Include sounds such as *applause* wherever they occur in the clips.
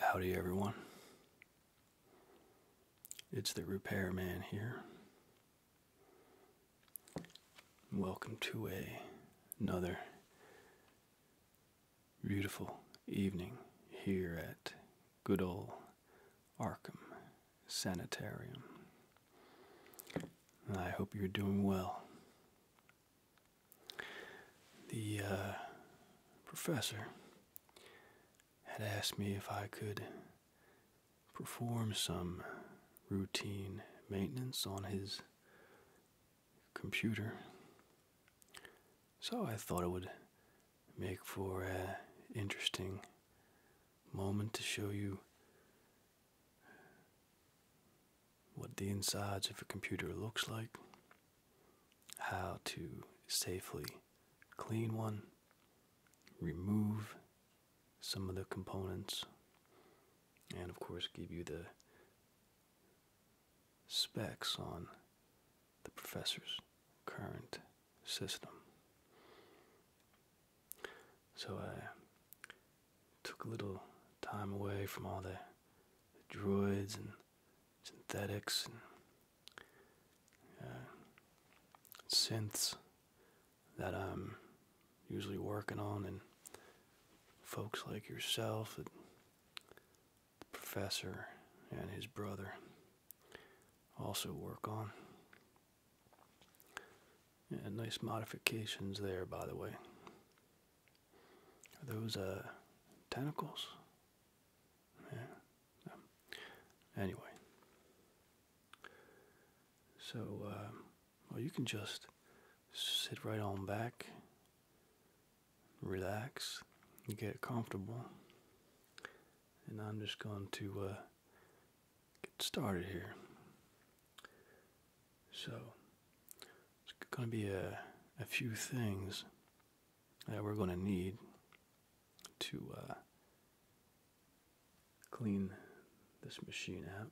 Howdy, everyone. It's the repairman here. Welcome to another beautiful evening here at good old Arkham Sanitarium. I hope you're doing well. The uh, professor had asked me if I could perform some routine maintenance on his computer. So I thought it would make for an interesting moment to show you what the insides of a computer looks like how to safely clean one, remove some of the components, and of course, give you the specs on the professor's current system. So I took a little time away from all the, the droids and synthetics and uh, synths that I'm usually working on, and folks like yourself, the professor, and his brother also work on. Yeah, nice modifications there, by the way. Are those uh, tentacles? Yeah. Um, anyway. So, um, well, you can just sit right on back, relax, get comfortable, and I'm just going to uh, get started here. So, it's going to be a, a few things that we're going to need to uh, clean this machine out.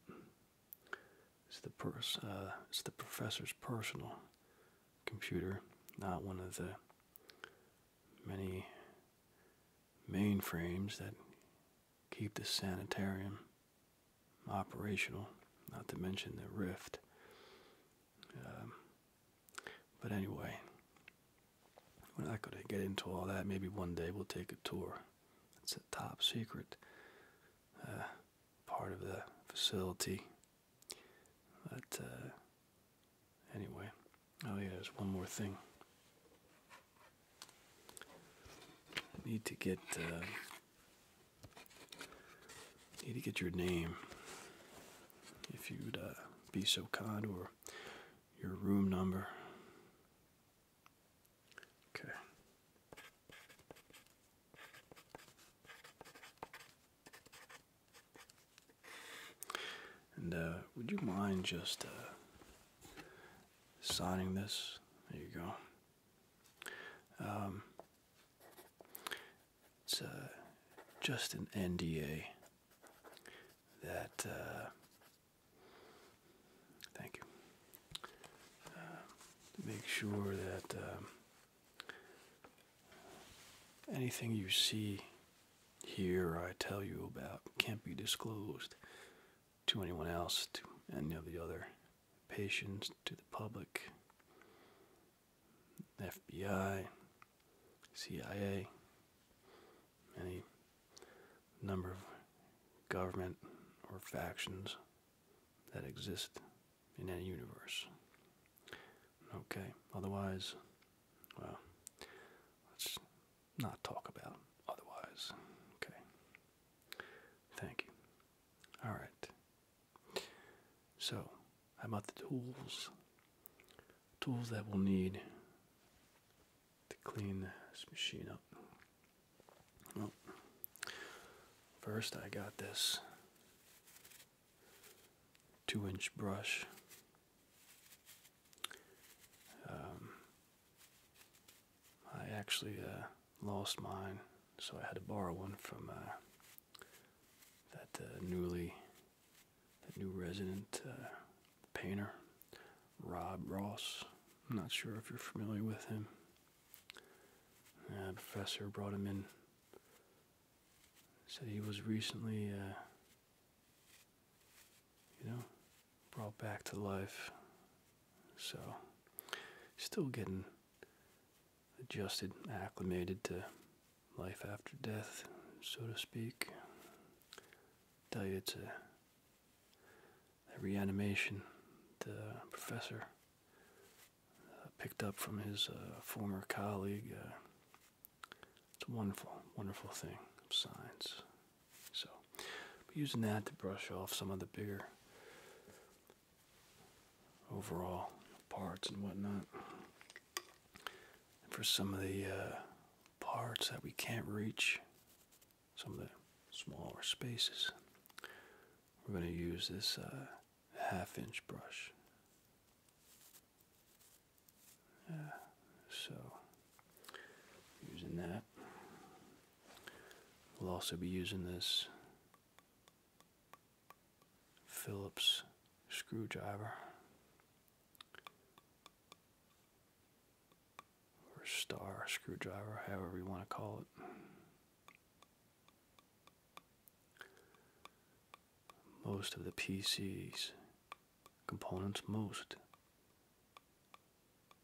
It's the pers uh, it's the professor's personal computer, not one of the many mainframes that keep the sanitarium operational, not to mention the rift um, but anyway, we're not going to get into all that. Maybe one day we'll take a tour. It's a top secret uh, part of the facility. But uh, anyway, oh yeah, there's one more thing. need to get uh, Need to get your name. If you'd uh, be so kind, or your room number. Okay. And uh, would you mind just uh, signing this? There you go. Um, it's uh, just an NDA that. Uh, thank you. Uh, make sure that um, anything you see here I tell you about can't be disclosed to anyone else, to any of the other patients, to the public. FBI, CIA, any number of government or factions that exist in any universe. Okay, otherwise, well, let's not talk about otherwise. Okay. Thank you. All right. So, how about the tools? Tools that we'll need to clean this machine up. Well, first I got this two inch brush. Um, I actually uh, lost mine, so I had to borrow one from uh, that uh, newly, that new resident uh, painter, Rob Ross. I'm not sure if you're familiar with him. Uh, professor brought him in. Said he was recently, you know, brought back to life. So, still getting adjusted, acclimated to life after death, so to speak. I tell you, it's a reanimation the uh, professor uh, picked up from his uh, former colleague. it's a wonderful, wonderful thing, science. So, using that to brush off some of the beer overall parts and whatnot. for some of the uh, parts that we can't reach, some of the smaller spaces, we're going to use this uh, half inch brush. so using that. We'll also be using this Phillips screwdriver or star screwdriver, however you want to call it. Most of the PC's components, most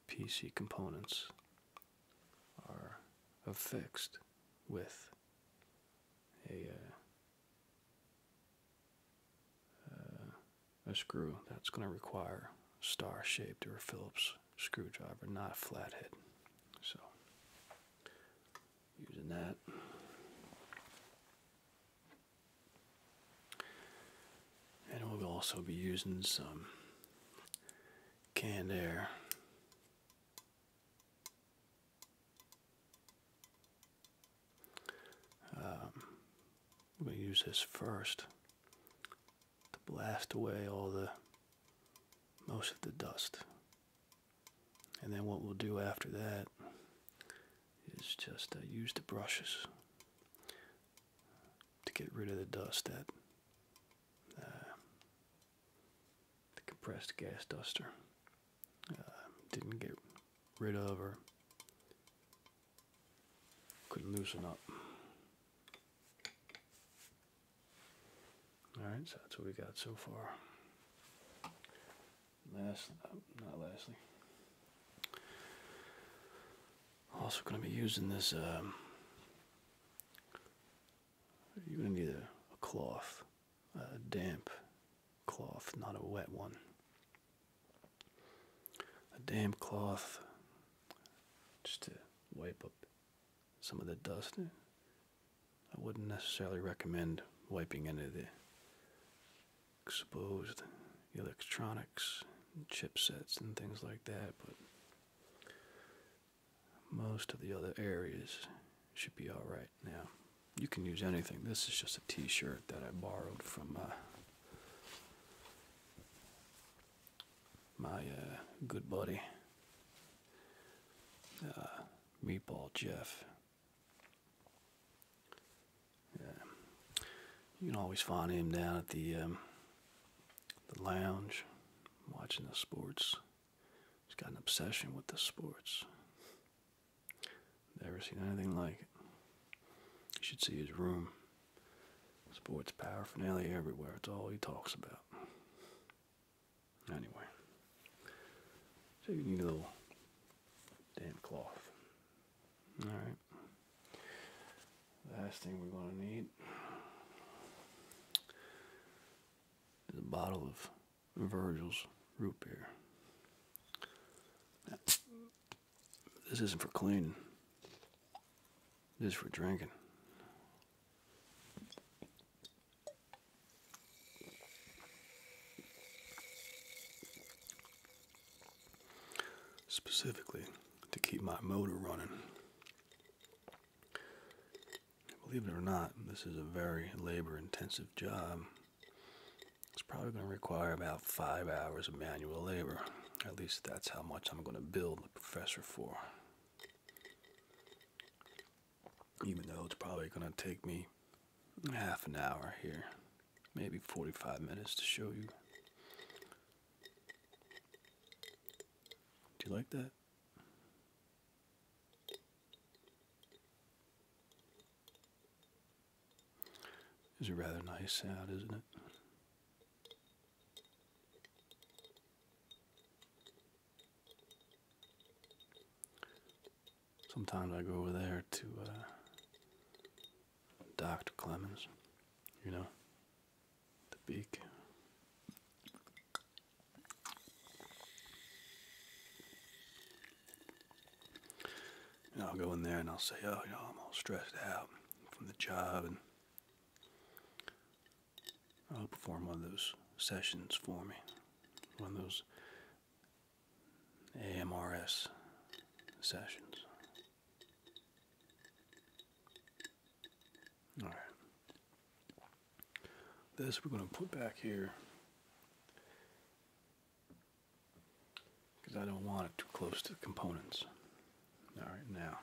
PC components are affixed with a uh, uh, a screw that's going to require star-shaped or Phillips screwdriver, not flathead. So using that. And we'll also be using some canned air um, I'm going to use this first to blast away all the most of the dust. And then what we'll do after that is just uh, use the brushes to get rid of the dust that uh, the compressed gas duster. Uh, didn't get rid of her. couldn't loosen up. Alright, so that's what we got so far. Last, oh, not lastly. Also going to be using this, um, you're going to need a cloth a damp cloth, not a wet one. A damp cloth just to wipe up some of the dust. I wouldn't necessarily recommend wiping any of the exposed electronics, chipsets, and things like that, but most of the other areas should be all right now. You can use anything. This is just a t-shirt that I borrowed from uh, my uh, good buddy, uh, Meatball Jeff. You can always find him down at the um, lounge, watching the sports. He's got an obsession with the sports. Never seen anything like it. You should see his room. Sports paraphernalia everywhere. It's all he talks about. Anyway. So you need a little damp cloth. Alright. Last thing we're going to need is a bottle of Virgil's root beer. This isn't for cleaning. This is for drinking. Specifically, to keep my motor running. Believe it or not, this is a very labor intensive job. It's probably going to require about five hours of manual labor. At least that's how much I'm going to build the professor for. Even though it's probably going to take me half an hour here, maybe 45 minutes to show you. Do you like that? It's a rather nice sound, isn't it? Sometimes I go over there to uh, Dr. Clemens, you know, the beak. And I'll go in there and I'll say, oh, you know, I'm all stressed out from the job, and I'll perform one of those sessions for me, one of those AMRS sessions. All right. This we're going to put back here because I don't want it too close to the components. All right, now.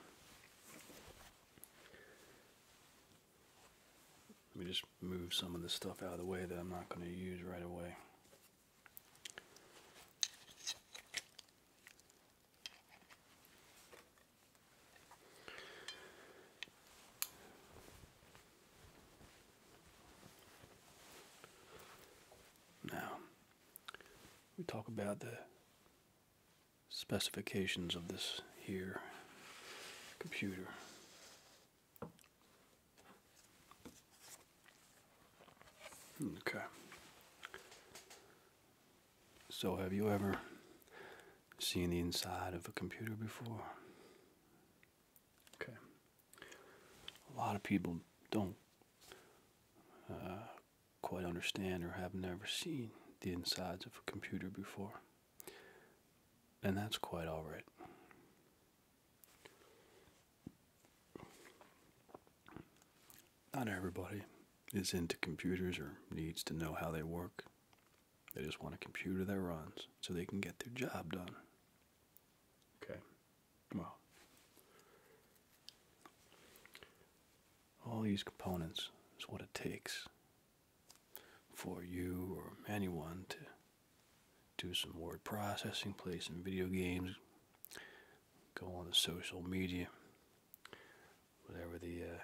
Let me just move some of the stuff out of the way that I'm not going to use right away. Now, we talk about the specifications of this here computer. Okay. So, have you ever seen the inside of a computer before? Okay. A lot of people don't uh, quite understand or have never seen the insides of a computer before. And that's quite alright. Not everybody is into computers or needs to know how they work. They just want a computer that runs so they can get their job done. Okay. Well, all these components is what it takes for you or anyone to do some word processing, play some video games, go on the social media, whatever the uh,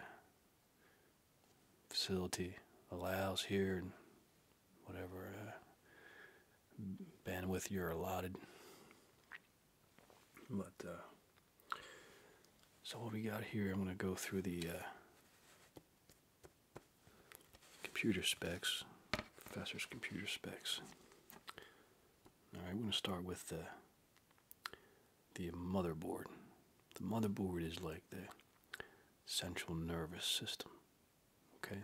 facility allows here and whatever uh, bandwidth you're allotted. But uh, so what we got here, I'm going to go through the uh, computer specs, professor's computer specs. All right, we're going to start with the the motherboard. The motherboard is like the central nervous system. Okay?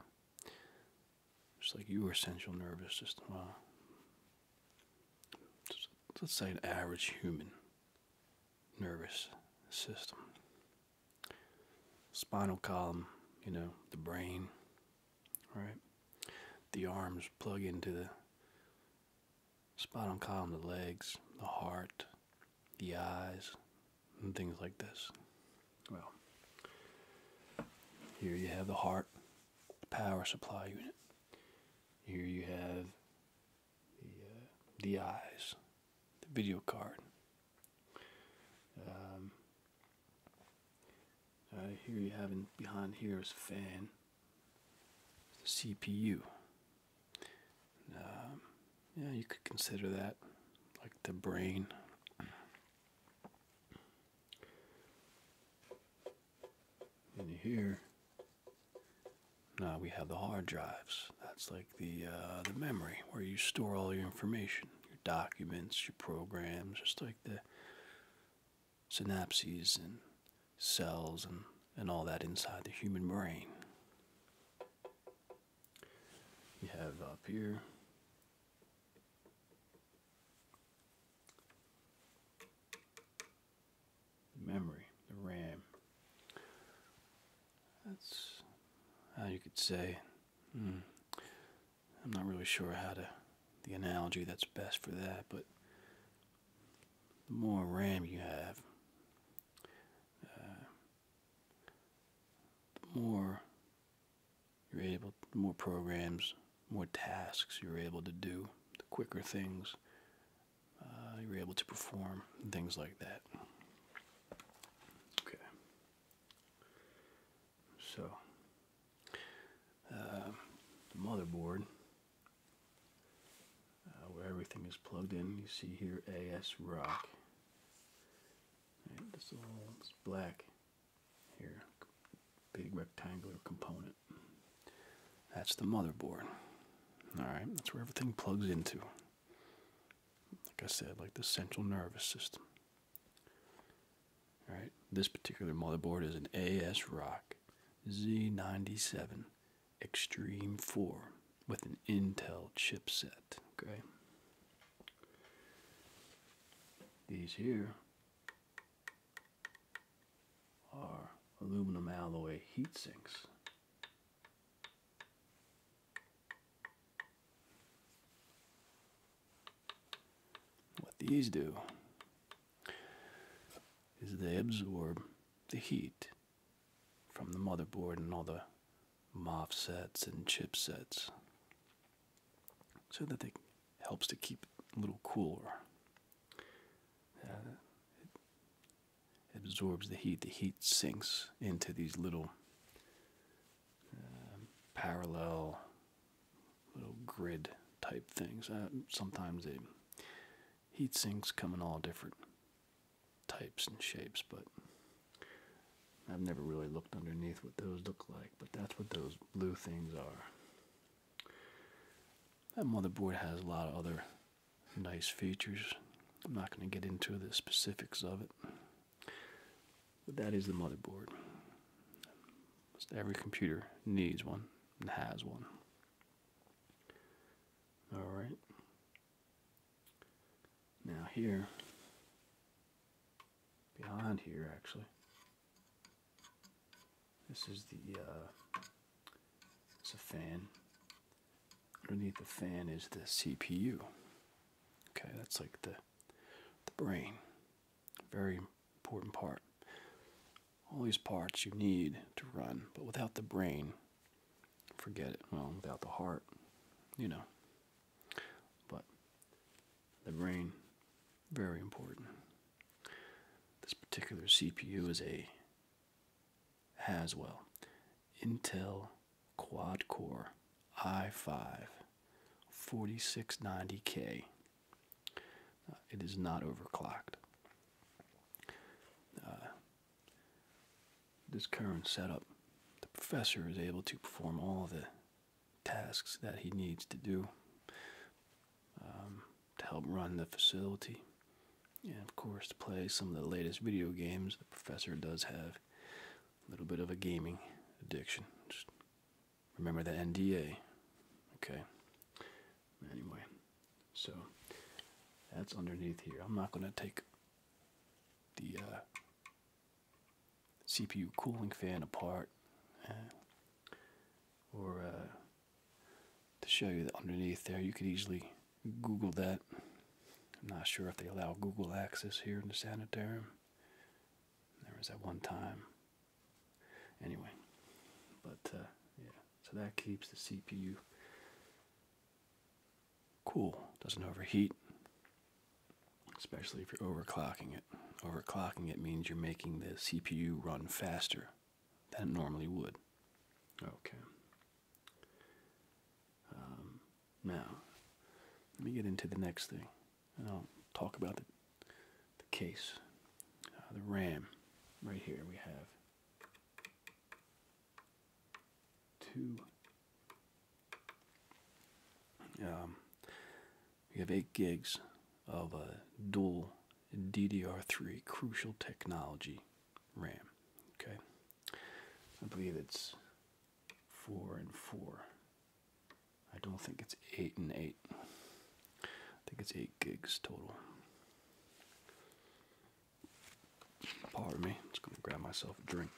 Just like your central nervous system. let's say an average human nervous system. Spinal column, you know, the brain, right? The arms plug into the spinal column, the legs, the heart, the eyes, and things like this. Well, here you have the heart, the power supply unit. Here you have the, uh, the eyes, the video card. Um, uh, here you have in, behind here is fan, the CPU. Um, yeah, you could consider that like the brain. And here, now we have the hard drives. That's like the uh, the memory where you store all your information, your documents, your programs, just like the synapses and cells and, and all that inside the human brain you have up here. memory, the RAM. That's how you could say. Hmm, I'm not really sure how to the analogy that's best for that, but the more RAM you have, uh, the more you're able, more programs, more tasks you're able to do, the quicker things uh, you're able to perform, things like that. Okay. So, uh, the motherboard uh, where everything is plugged in. You see here AS Rock. Right, this little this black here, big rectangular component. That's the motherboard. Alright, that's where everything plugs into. Like I said, like the central nervous system. Alright, this particular motherboard is an AS Rock Z97 Extreme 4 with an Intel chipset. Okay. These here are aluminum alloy heat sinks. What these do is they absorb the heat from the motherboard and all the MOF sets and chipsets so that it helps to keep a little cooler. it absorbs the heat. The heat sinks into these little um, parallel little grid type things. Uh, sometimes the heat sinks come in all different types and shapes, but I've never really looked underneath what those look like, but that's what those blue things are. That motherboard has a lot of other nice features. I'm not going to get into the specifics of it, but that is the motherboard. Every computer needs one and has one. Alright. Now here, behind here actually, this is the, uh, it's a fan. Underneath the fan is the CPU. Okay, that's like the, the brain. Very important part. All these parts you need to run, but without the brain, Forget it. Well, without the heart, you know. But the brain, very important. This particular CPU is a Haswell Intel Quad Core i5 4690K. Uh, it is not overclocked. Uh, this current setup, the professor is able to perform all the tasks that he needs to do um, to help run the facility. And of course, to play some of the latest video games, the professor does have a little bit of a gaming addiction. Just remember the NDA. Okay. Anyway, so that's underneath here. I'm not going to take the uh, CPU cooling fan apart, uh, or uh, to show you that underneath there, you could easily Google that. I'm not sure if they allow Google access here in the sanitarium. There was that one time. Anyway, but yeah, so that keeps the CPU cool, doesn't overheat, especially if you're overclocking it. Overclocking it means you're making the CPU run faster than it normally would. Okay. Um, now, let me get into the next thing, and I'll talk about the, the case, uh, the RAM. Right here we have two. Um, we have 8 gigs of uh, dual DDR3 Crucial Technology RAM. Okay, I believe it's 4 and 4. I don't think it's 8 and 8. I think it's 8 gigs total. Pardon me, I'm just gonna grab myself a drink.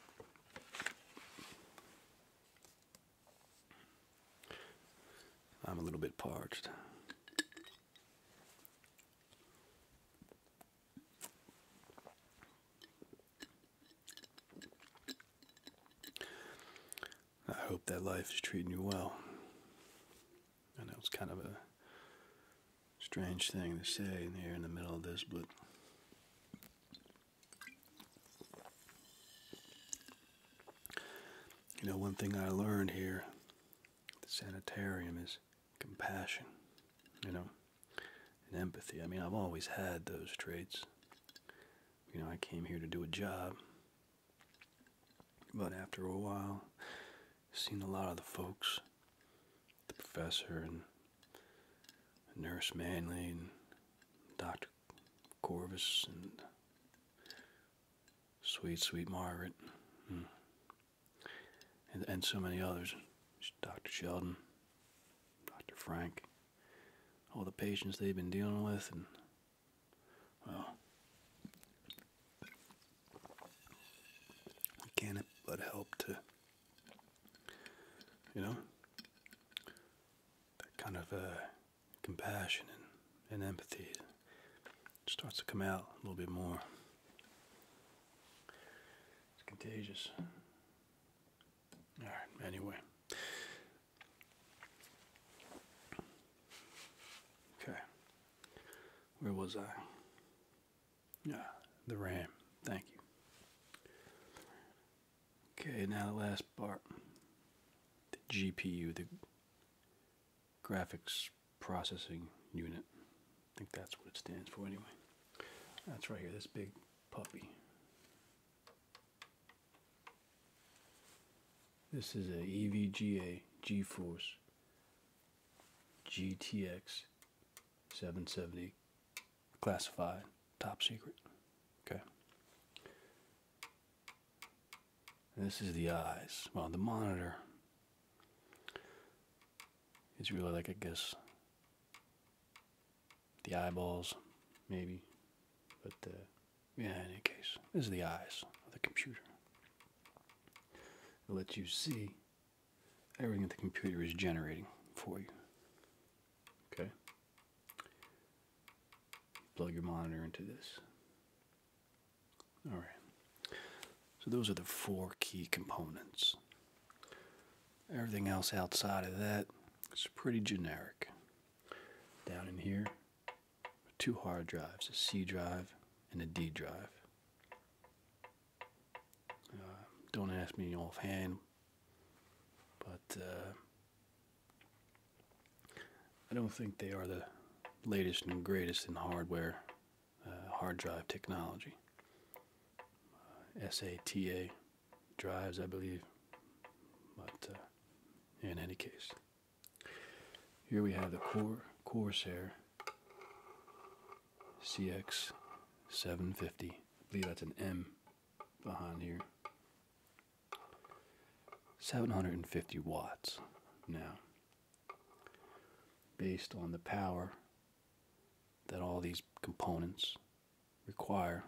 I'm a little bit parched. I hope that life is treating you well. I know it's kind of a Strange thing to say here in the middle of this, but you know, one thing I learned here the sanitarium is compassion, you know, and empathy. I mean, I've always had those traits. You know, I came here to do a job, but after a while, seen a lot of the folks the professor and Nurse Manley and Dr. Corvus and sweet, sweet Margaret hmm. and, and, so many others. Dr. Sheldon, Dr. Frank, all the patients they've been dealing with and well, I can't but help to you know? That kind of uh, compassion and, and empathy starts to come out a little bit more. It's contagious. Alright, anyway. Okay. Where was I? Ah, the RAM. Thank you. Okay, now the last part. The GPU, the graphics processing unit. I think that's what it stands for anyway. That's right here, this big puppy. This is a EVGA GeForce GTX 770 Classified, top secret. Okay. This is the eyes. Well, the monitor is really like, I guess, the eyeballs, maybe. But, uh, yeah, in any case, this is the eyes of the computer. It lets you see everything that the computer is generating for you. Okay? Plug your monitor into this. All right. So those are the four key components. Everything else outside of that is pretty generic. Down in here, two hard drives, a C drive and a D drive. Uh, don't ask me offhand, but uh, I don't think they are the latest and greatest in hardware, uh, hard drive technology. SATA drives, I believe, but in any case. Here we have the Cor Corsair CX750. I believe that's an M behind here. 750 watts now, based on the power that all these components require.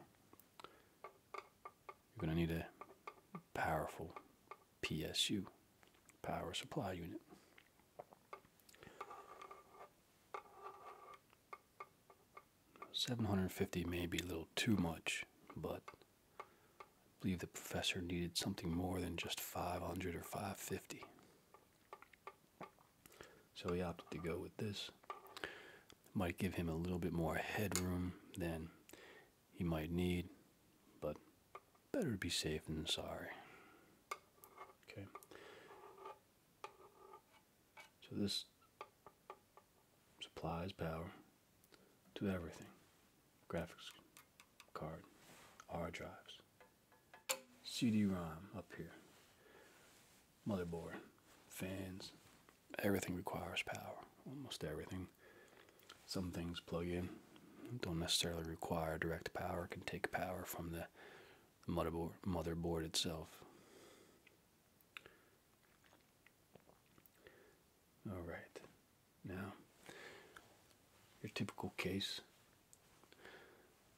You're going to need a powerful PSU, power supply unit. 750 may be a little too much, but I believe the professor needed something more than just 500 or 550. So he opted to go with this. Might give him a little bit more headroom than he might need, but better to be safe than sorry. Okay. So this supplies power to everything graphics card, hard drives, CD ROM up here, motherboard, fans. Everything requires power, almost everything. Some things plug in, don't necessarily require direct power, can take power from the motherboard, motherboard itself. All right, now your typical case.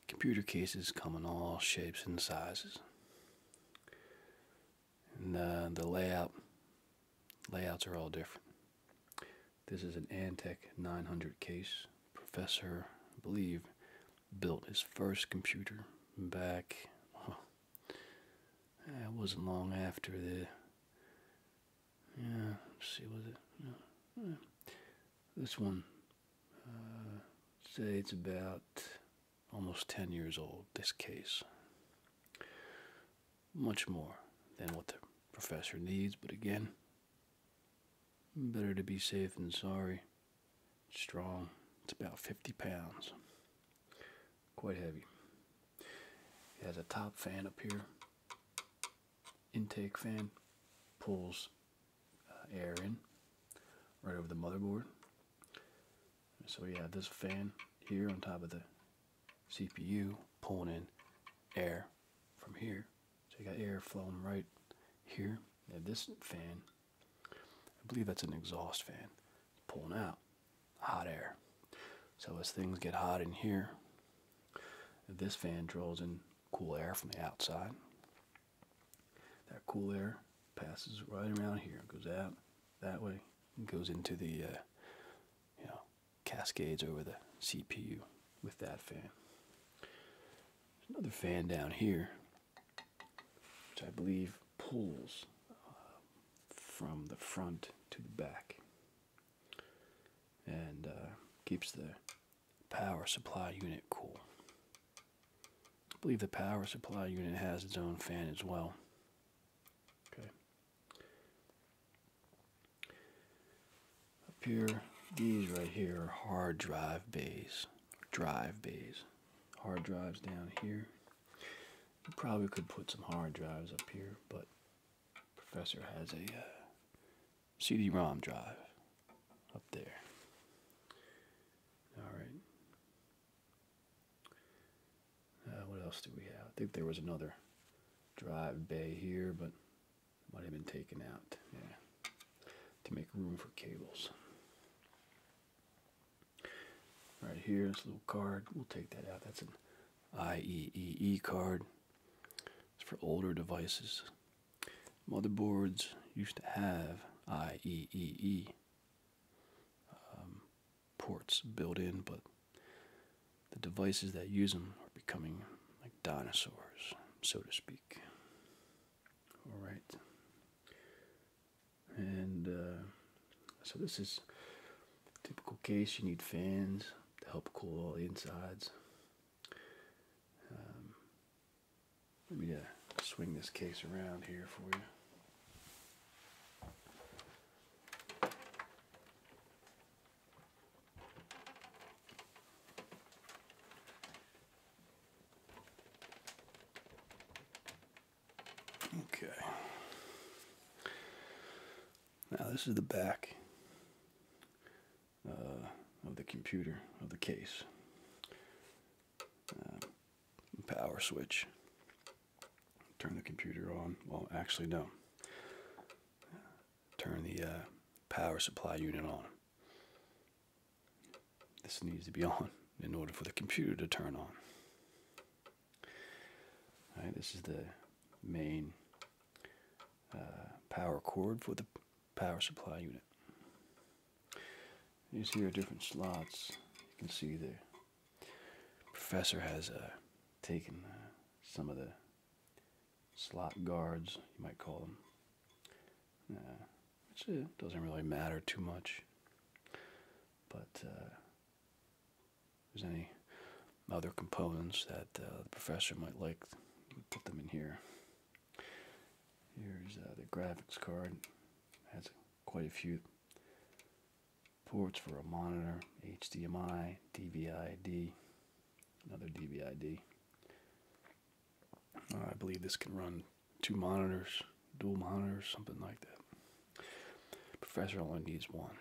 Computer cases come in all shapes and sizes, and uh, the layout layouts are all different. This is an Antec 900 case. Professor, I believe, built his first computer back. Well, it wasn't long after the. Yeah, see, was it? This one, uh, say it's about almost 10 years old, this case. Much more than what the professor needs, but again, Better to be safe than sorry. strong. It's about 50 pounds. Quite heavy. It has a top fan up here. Intake fan pulls uh, air in right over the motherboard. So we have this fan here on top of the CPU pulling in air from here so you got air flowing right here. You this fan. I believe that's an exhaust fan. pulling out hot air. So as things get hot in here, this fan draws in cool air from the outside. That cool air passes right around here, goes out that way, goes into the uh, you know cascades over the CPU with that fan another fan down here, which I believe pulls uh, from the front to the back and uh, keeps the power supply unit cool. I believe the power supply unit has its own fan as well. Okay. Up here, these right here are hard drive bays. Drive bays. Hard drives down here. probably could put some hard drives up here, but Professor has a uh, CD-ROM drive up there. All right. Uh, what else do we have? I think there was another drive bay here, but might have been taken out, yeah, to make room for cables. Right here, this little card, we'll take that out. That's an IEEE card. It's for older devices. Motherboards used to have IEEE um, ports built in, but the devices that use them are becoming like dinosaurs, so to speak. All right. And uh, so this is typical case. You need fans to help cool all the insides. Um, let me uh, swing this case around here for you. Okay. Now this is the back uh, of the computer, of the case. Uh, power switch. Turn the computer on. Well, actually, no. Turn the uh, power supply unit on. This needs to be on in order for the computer to turn on. this is the main uh, power cord for the power supply unit. These here are different slots. You can see the professor has uh, taken uh, some of the slot guards, you might call them which uh, doesn't really matter too much. But uh, there's any other components that uh, the professor might like, you put them in here. Here's the graphics card. Has quite a few ports for a monitor, HDMI, DVI-D, another DVI-D. I believe this can run two monitors, dual monitors, something like that. Professor only needs one.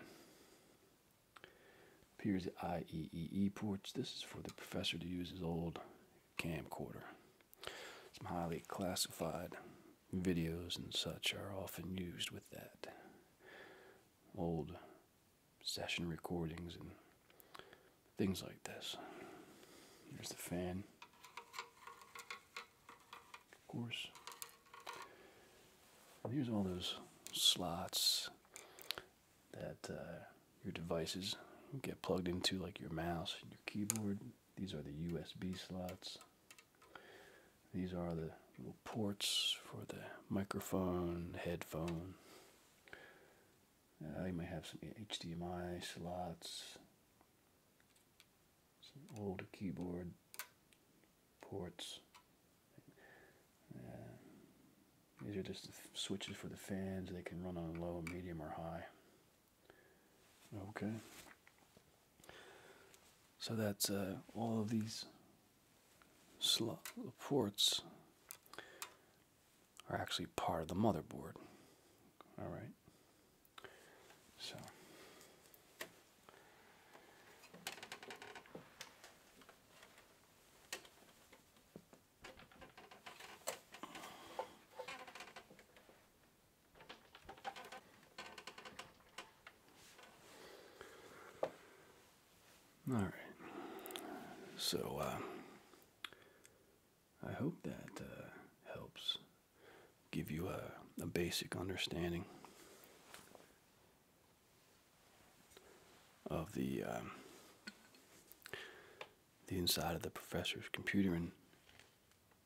Here's the IEEE ports. This is for the professor to use his old camcorder. Some highly classified videos and such are often used with that. Old session recordings and Things like this. Here's the fan. Of course. And here's all those slots that uh, your devices get plugged into, like your mouse your keyboard. These are the USB slots. These are the little ports for the microphone, headphone, uh, you may have some HDMI slots, some old keyboard ports. Uh, these are just the switches for the fans. They can run on low, medium, or high. Okay. So that's uh, all of these slot ports are actually part of the motherboard. All right. So All right. So uh I hope that uh, helps give you a, basic understanding of the um, the inside of the professor's computer and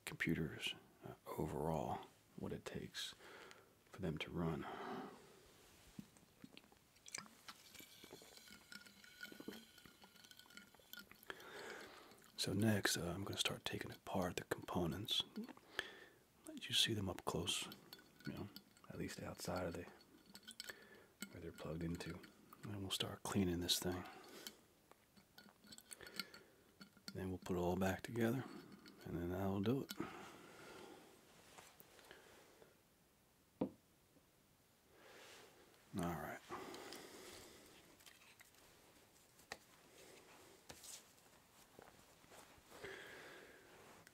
computers uh, overall, what it takes for them to run. So next, uh, I'm going to start taking apart the components. Let you see them up close, at least outside of where they're plugged into. And we'll start cleaning this thing. Then we'll put it all back together, and then i will do it. All right.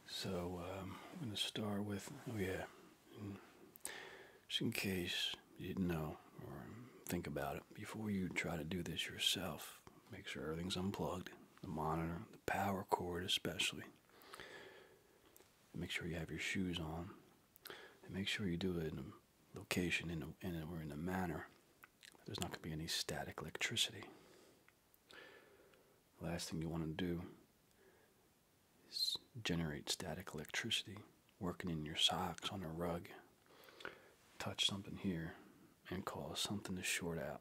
So um, I'm going to start with, oh yeah, just in case you didn't know or think about it, before you try to do this yourself, make sure everything's unplugged, the monitor, the power cord especially. Make sure you have your shoes on and make sure you do it in a location in a, or in a manner there's not going to be any static electricity. Last thing you want to do is generate static electricity working in your socks on a rug. Touch something here and cause something to short out.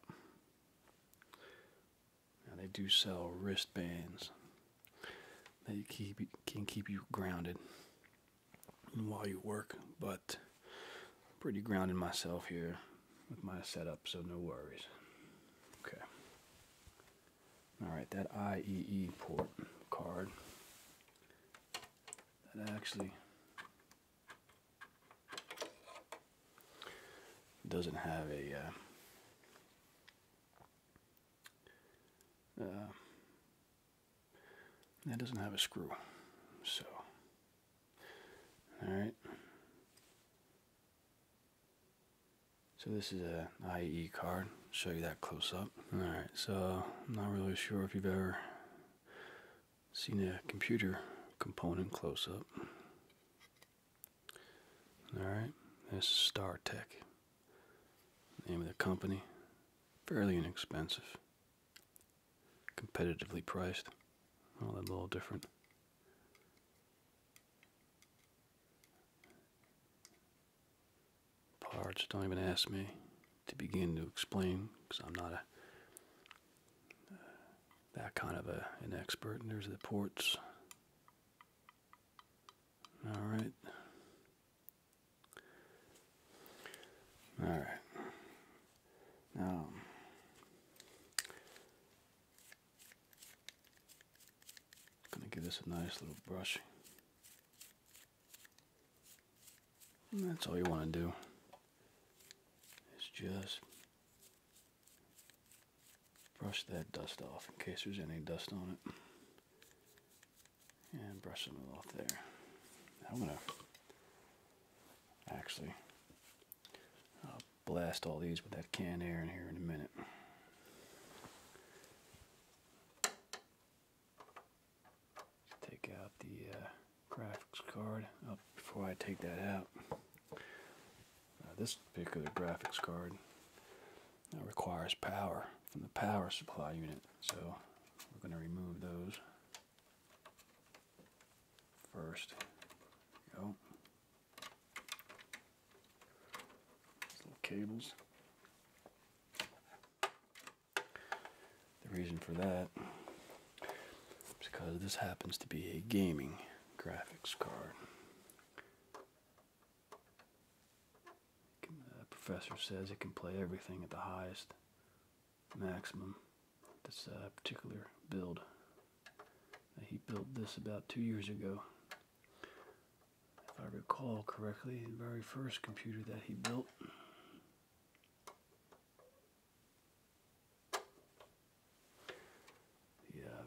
Now they do sell wristbands that keep can keep you grounded while you work. But pretty grounded myself here with my setup, so no worries. Okay. All right, that IEE port card that actually doesn't have a uh, uh, that doesn't have a screw, so all right. So this is a IE card. show you that close up. All right. So I'm not really sure if you've ever seen a computer component close up. All right. This is StarTech. Name of the company, fairly inexpensive, competitively priced. Well, that's a little different. Parts, don't even ask me to begin to explain because I'm not a that kind of an expert. And there's the ports. All right. All right. Now, um, going to give this a nice little brush. that's all you want to do. Is just brush that dust off in case there's any dust on it and brush them off there. I'm gonna actually blast all these with that can air in here in a minute. Take out the uh, graphics card. Oh, before I take that out, this particular graphics card uh, requires power from the power supply unit. So we're going to remove those first. Go. little cables. The reason for that is because this happens to be a gaming graphics card. The professor says it can play everything at the highest maximum. This particular build. Uh, he built this about two years ago. If I recall correctly, the very first computer that he built.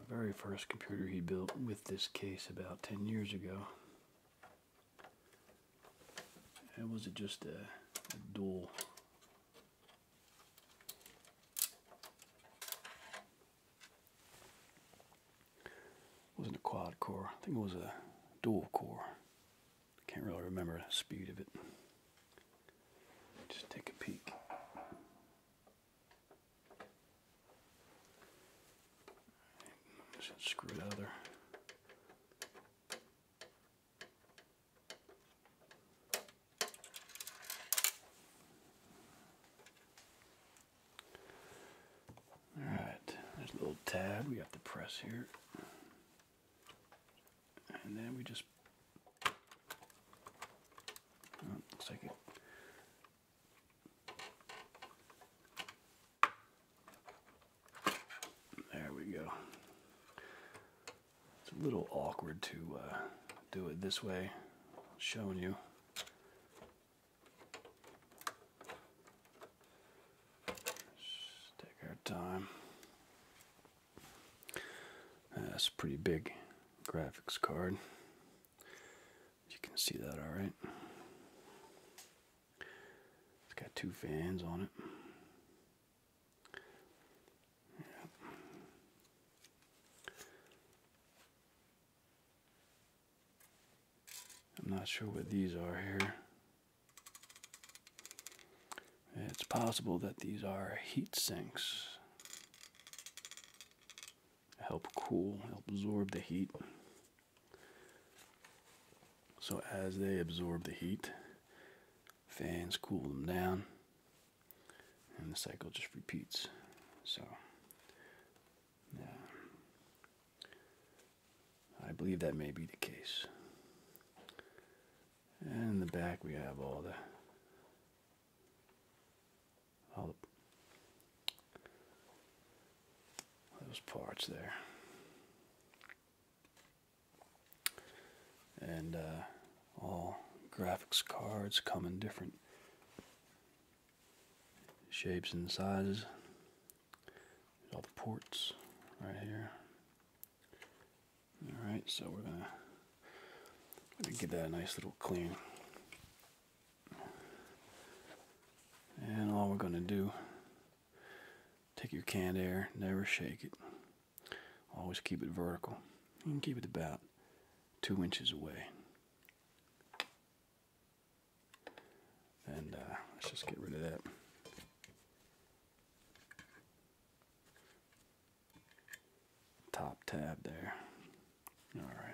The very first computer he built with this case about 10 years ago. Or was it just a, dual? wasn't a quad core. I think it was a dual core. I can't really remember the speed of it. Just take a peek. Just screw the other. Alright, there's a little tab we have to press here. And then we just, oh, there we go. It's a little awkward to uh, do it this way, showing you. take our time. That's a pretty big graphics card. You can see that, all right. It's got two fans on it. I'm not sure what these are here. It's possible that these are heat sinks. Help cool, help absorb the heat. So, as they absorb the heat, fans cool them down, and the cycle just repeats. So, yeah. I believe that may be the case. And in the back, we have all the all those parts there. And uh, all graphics cards come in different shapes and sizes. all the ports right here. Alright, so we're gonna give that a nice little clean. And all we're going to do, take your canned air, never shake it. Always keep it vertical. and keep it about two inches away. And uh, let's just get rid of that. Top tab there. All right.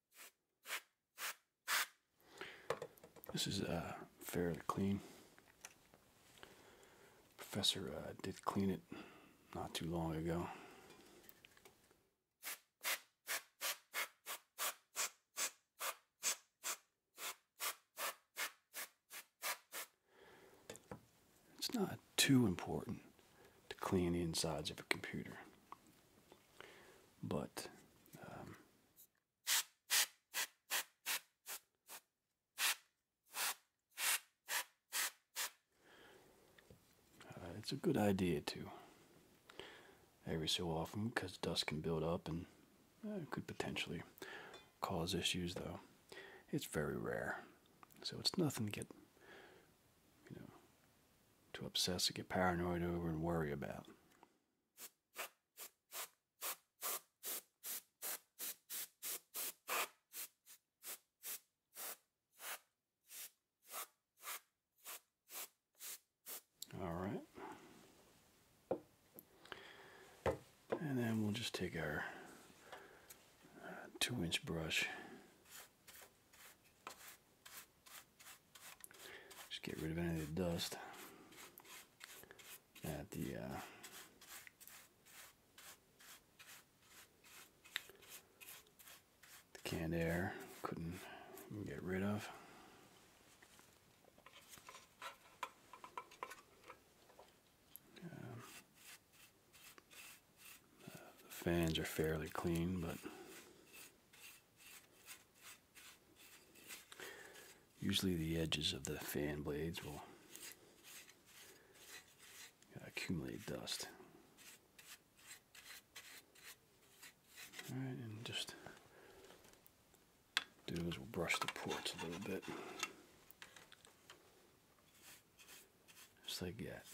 This is uh, fairly clean. Professor uh, did clean it not too long ago. It's not too important to clean the insides of a computer. But um, uh, it's a good idea to every so often because dust can build up and it uh, could potentially cause issues though it's very rare so it's nothing to get you know to obsess and get paranoid over and worry about. All right. And then we'll just take our uh, two inch brush just get rid of any of the dust at uh, the canned air couldn't get rid of. Uh, the fans are fairly clean, but Usually the edges of the fan blades will accumulate dust. Alright, and just do is brush the ports a little bit. Just like that.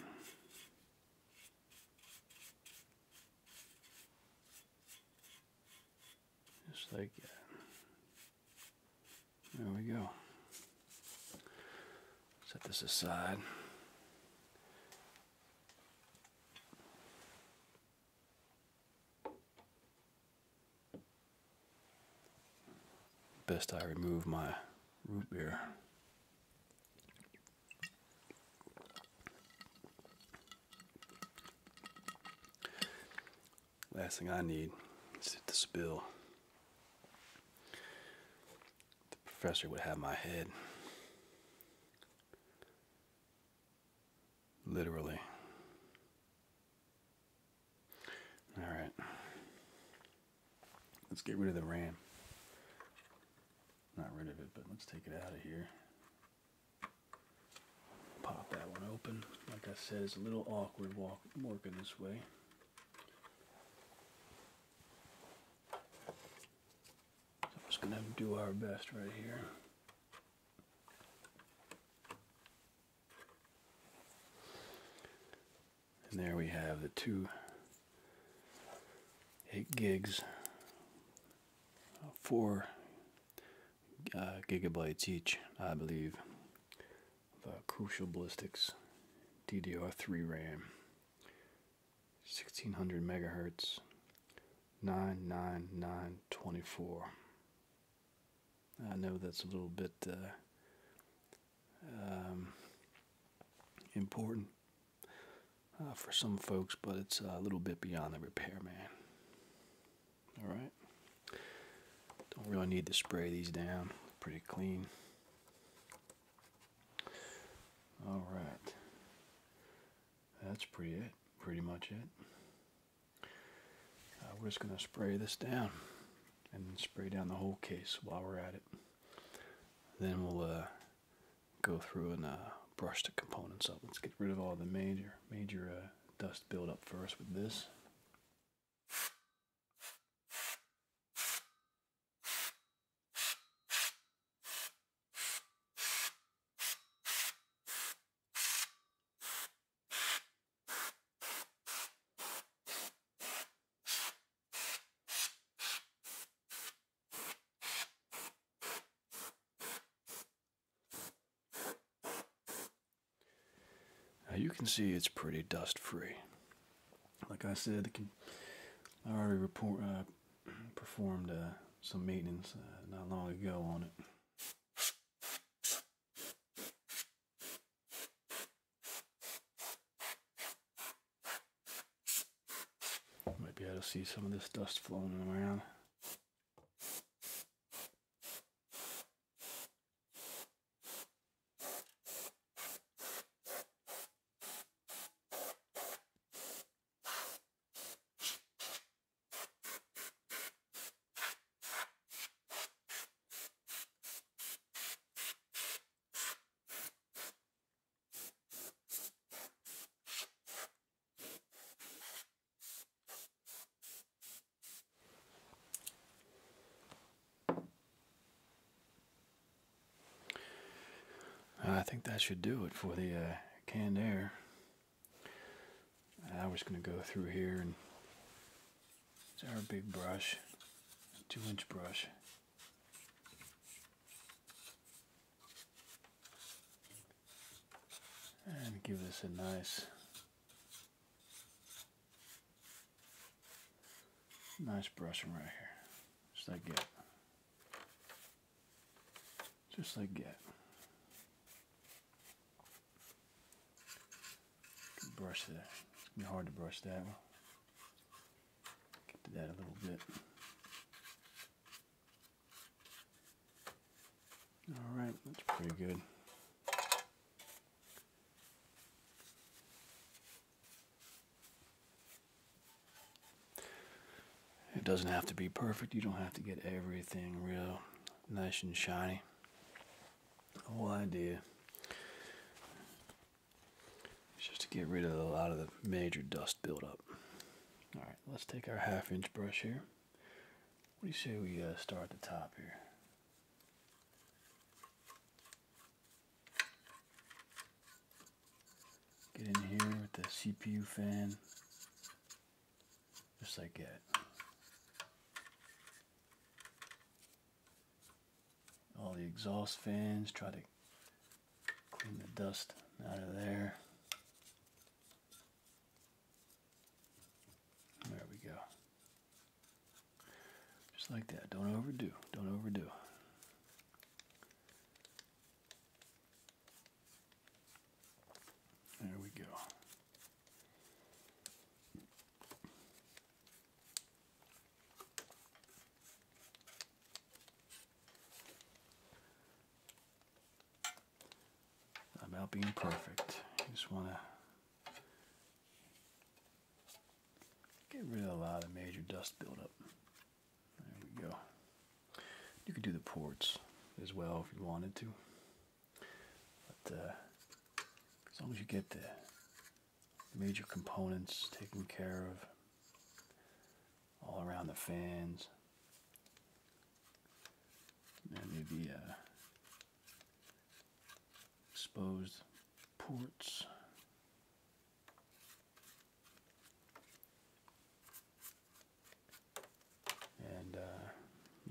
Just like that. There we go. Set this aside. Best I remove my root beer. Last thing I need is to spill. The professor would have my head. Literally. Alright. Let's get rid of the RAM. Not rid of it, but let's take it out of here. Pop that one open. Like I said, it's a little awkward walk, working this way. I'm just going to do our best right here. And there we have the two 8 gigs four uh, gigabytes each, I believe. Crucial Ballistics DDR3 RAM, 1600 megahertz, 99924. I know that's a little bit uh, um, important uh, for some folks, but it's a little bit beyond the repair, man. All right. Don't really need to spray these down. Pretty clean. All right. That's pretty it. Pretty much it. Uh, we're just going to spray this down and spray down the whole case while we're at it. Then we'll uh, go through and uh, brush the components up. Let's get rid of all the major major uh, dust buildup first with this. Now you can see it's pretty dust free. Like I said, I already uh, performed uh, some maintenance uh, not long ago on it. Might be able to see some of this dust floating around. Uh, I think that should do it for the uh, canned air. I was going to go through here and it's our big brush, two inch brush and give this a nice nice brushing right here just like that just like that brush that it's gonna be hard to brush that one get that a little bit all right, that's pretty good. It doesn't have to be perfect. You don't have to get everything real nice and shiny. The whole idea is just to get rid of a lot of the major dust buildup. All right, let's take our half inch brush here. What do you say we uh, start at the top here? Get in here with the CPU fan, just like that. All the exhaust fans, try to Clean the dust out of there. There we go. Just like that. Don't overdo. Don't overdo. There we go. It's not about being perfect. just want to get rid of a lot of major dust buildup. There we go. You could do the ports as well if you wanted to. But uh, as long as you get the major components taken care of, all around the fans. And maybe uh, exposed ports. And uh,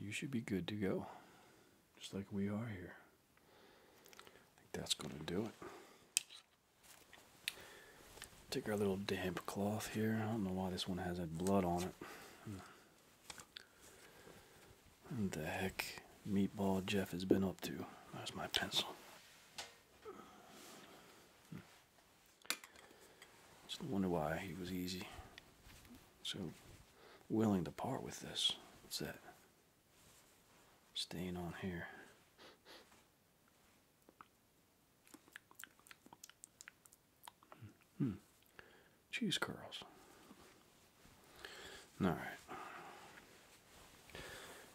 you should be good to go, just like we are here. I think that's going to do it. Take our little damp cloth here. I don't know why this one has that blood on it. What the heck meatball Jeff has been up to? There's my pencil. Just wonder why he was easy. So willing to part with this. What's that? Stain on here. Hmm. Cheese curls. All right.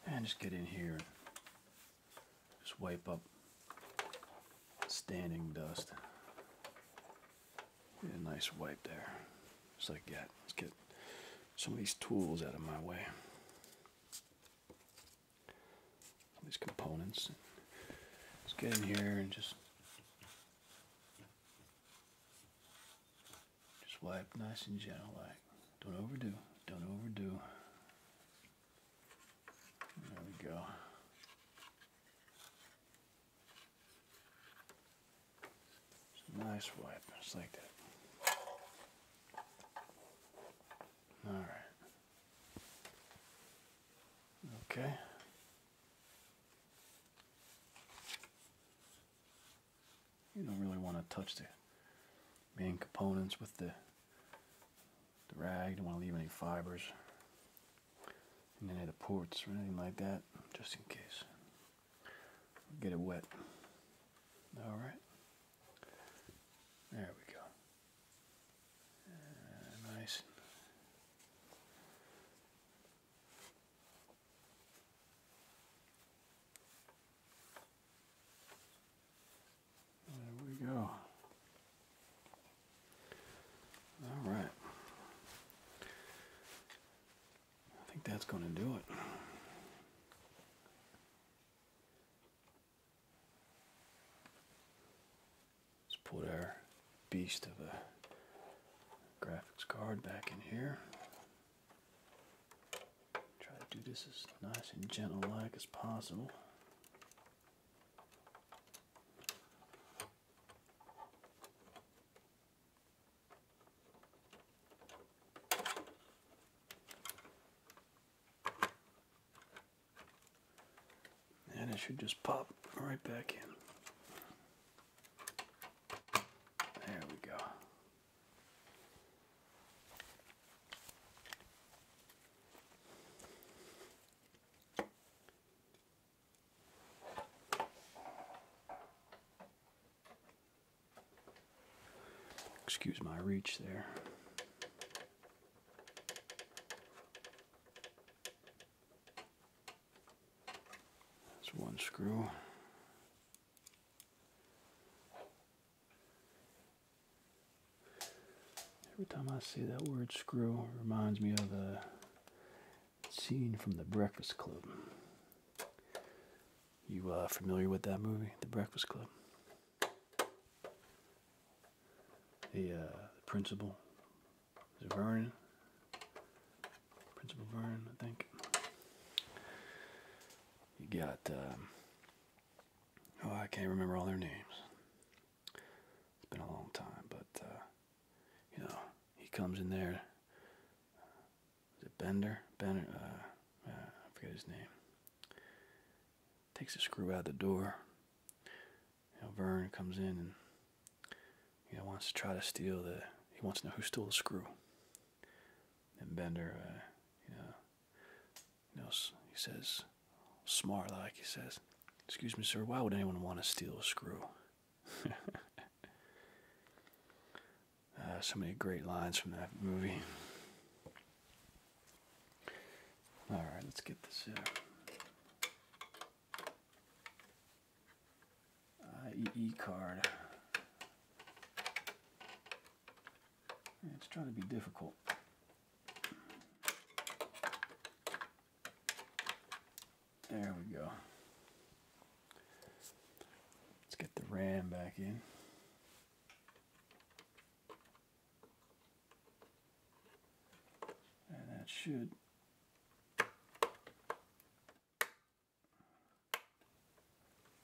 And just get in here and just wipe up standing dust. Get a nice wipe there. Just like that. Let's get some of these tools out of my way these components. Let's get in here and just just wipe nice and gentle, like don't overdo, don't overdo. There we go. Nice wipe, just like that. Alright. Okay. You don't really want to touch the main components with the, rag. You don't want to leave any fibers in any of the ports or anything like that, just in case. Get it wet. Alright. There we go. Uh, nice. There we go. All right. I think that's going to do it. Let's put our beast of a graphics card back in here. Try to do this as nice and gentle like as possible. And it should just pop right back in. There we go. Excuse my reach there. That's one screw. Every time I see that word screw, it reminds me of the scene from The Breakfast Club. You uh, familiar with that movie, The Breakfast Club? the, uh, the principal. Is Vernon? Principal Vernon, I think. You got, um, oh, I can't remember all their names. It's been a long time, but, uh, you know, he comes in there. Is it Bender? Bender, uh, uh, I forget his name takes the screw out the door. You know, Vern comes in and you know wants to try to steal the. He wants to know who stole the screw. And Bender, uh, you know, you he says, smart like he says, "Excuse me, sir. Why would anyone want to steal a screw?" *laughs* Uh, so many great lines from that movie. All right, let's get this out. IEE card. It's trying to be difficult. There we go. Let's get the RAM back in. And that should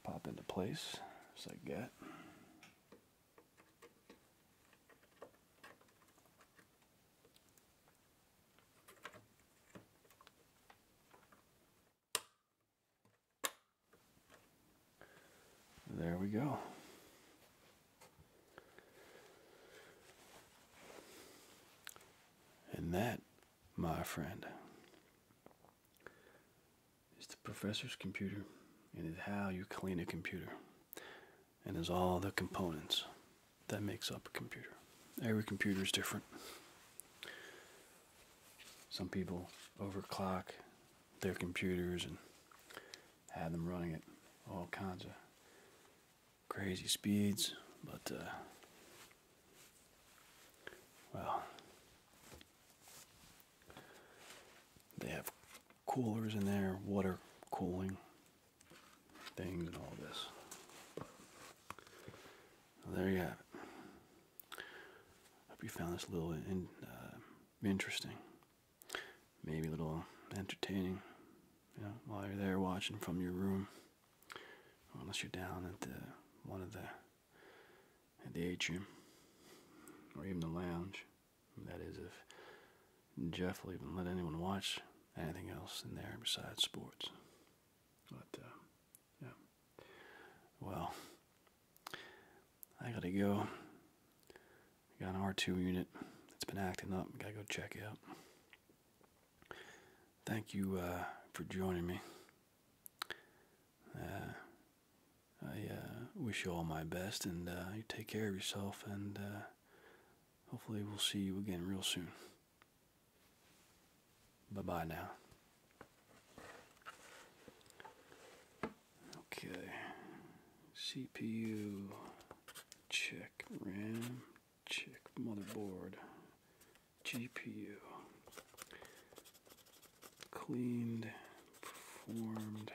pop into place as I get. There we go. And that, my friend, is the professor's computer and is how you clean a computer and is all the components that makes up a computer. Every computer is different. Some people overclock their computers and had them running at all kinds of crazy speeds. But, uh, well, they have coolers in there, water cooling things, and all this. there you have Hope you found this a little in, uh, interesting maybe a little entertaining, you while you're there watching from your room, unless you're down at the one of the at the atrium or even the lounge. That is, if Jeff will even let anyone watch anything else in there besides sports. But uh, yeah, well, I gotta go. I got an R2 unit that's been acting up. Gotta go check it out. Thank you uh, for joining me. Uh, I uh, wish you all my best, and you take care of yourself, and hopefully we'll see you again real soon. Bye-bye now. Okay. CPU check RAM check motherboard GPU cleaned performed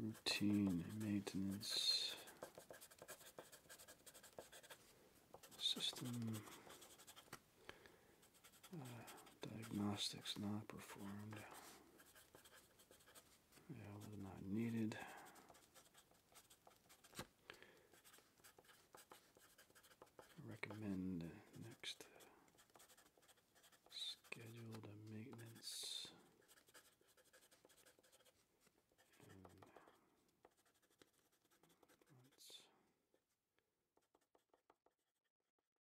routine maintenance system uh, diagnostics not performed. Valve not needed. Recommend next scheduled maintenance.